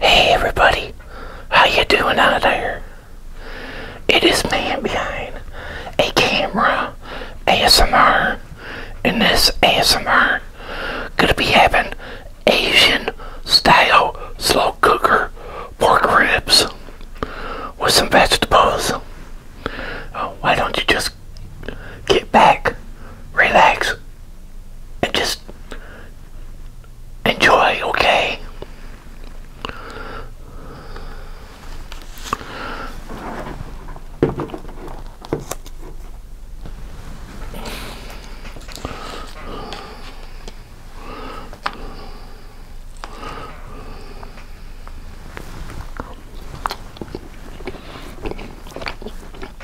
Hey everybody, how you doing out there? It is man behind a camera ASMR and this ASMR gonna be having Asian style slow cooker pork ribs with some vegetables. Oh, why don't you just get back, relax, and just enjoy, okay?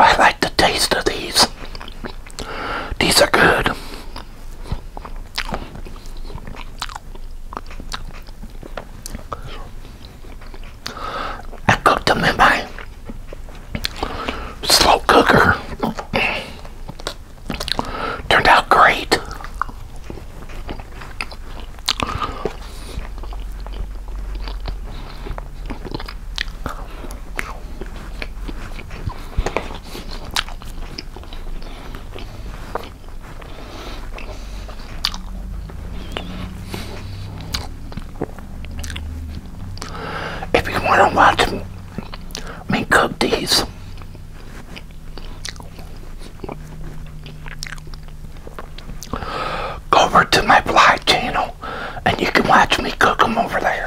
I like the taste of these. These are good. I cooked them in my slow cooker. Turned out great. If you want to watch me cook these, go over to my vlog channel and you can watch me cook them over there.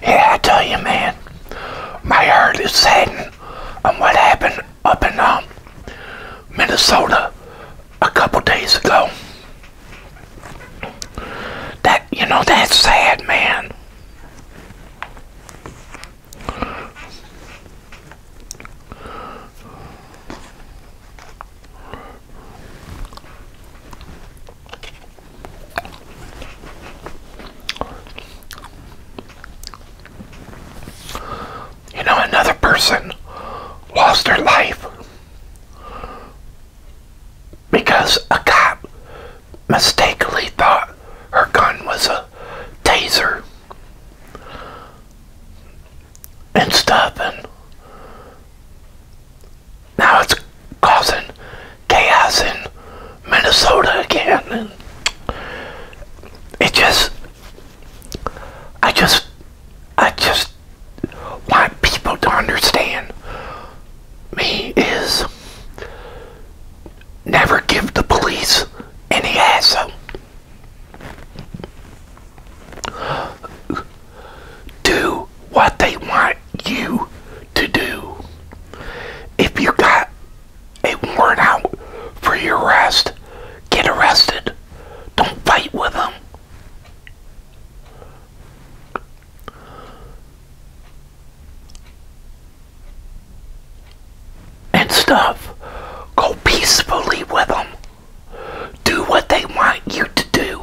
Yeah, I tell you, man, my heart is saddened on what happened up in um, Minnesota a couple days ago. That, you know, that's sad, man. You know, another person lost their life because a cop mistakenly thought her gun was a taser and stuff and now it's causing chaos in Minnesota again it just, I just, I just want people to understand me is never give the police any hassle. Do what they want you to do. If you got a warrant out for your arrest. Get arrested. Don't fight with them. And stuff. Go peacefully with them. Do what they want you to do.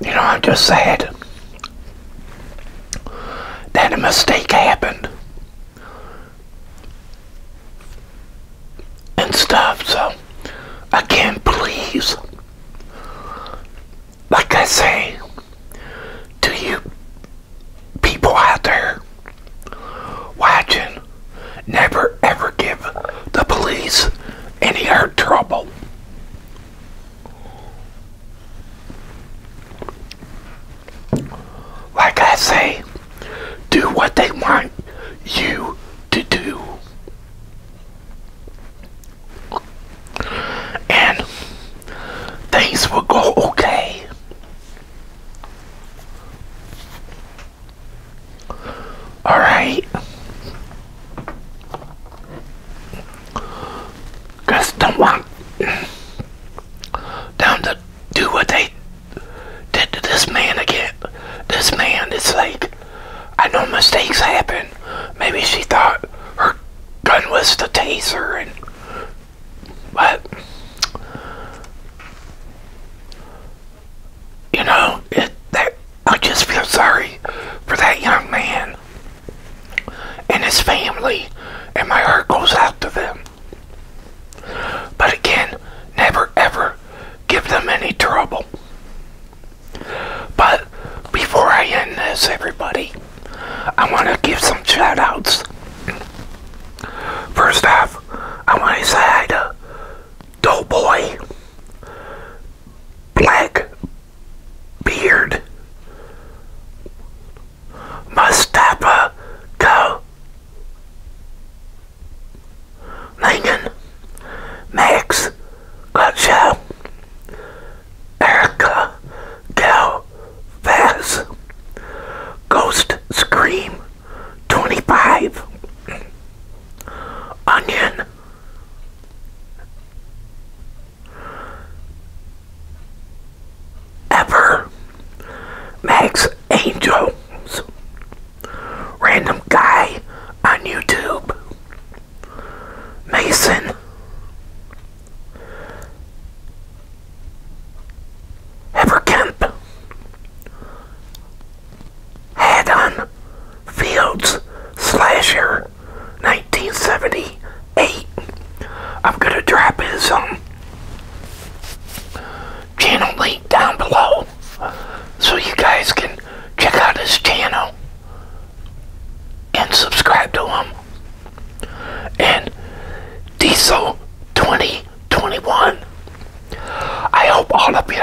You know, I'm just sad that a mistake happened and stuff. So, I can't please, like I say to you people out there watching, never ever give the police any hard trouble. Like I say, do what they want you to do. And things will go okay. All Cause don't want them to do what they did to this man again. This man, it's like, I know mistakes happen. Maybe she thought her gun was the taser and, but, you know, it, that, I just feel sorry for that young man and his family, and my heart goes out to them. But again, never ever give them any trouble. But before I end this, everybody, I want to give some shout outs. First off, I want to say hi to Doughboy black beard Mustafa Go Lincoln Max Gotcha Erica Go Faz Ghost Scream 25 Onion Ever Max Angels, random guy on YouTube, Mason. Ever had Fields Slasher 1978. I'm going to drop his um, channel link down below so you guys can check out his channel and subscribe to him. And Diesel 2021. I hope all of you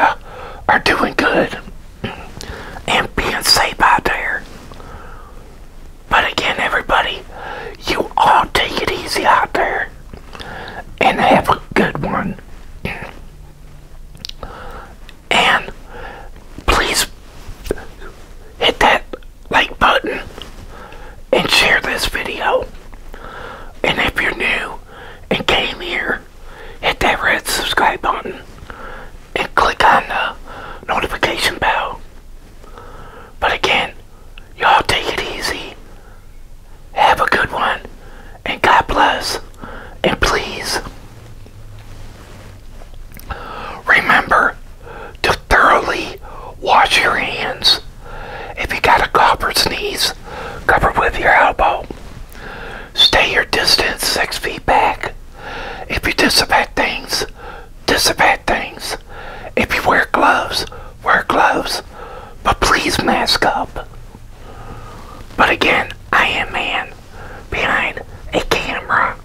are doing good and being safe out there. But again, everybody, you all take it easy out there and have a good one. And please hit that like button and share this video. And if you're new and came here, hit that red subscribe button and click on the notification bell. But again, y'all take it easy. Have a good one. And God bless. And please remember to thoroughly wash your hands. If you got a cough or sneeze, cover with your elbow. Stay your distance six feet back. If you dissipate things, dissipate things. If you wear gloves, wear gloves. But please mask up. But again, I am man behind a camera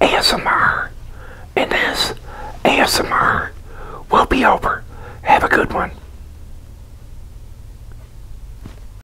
ASMR. And this ASMR will be over. Have a good one.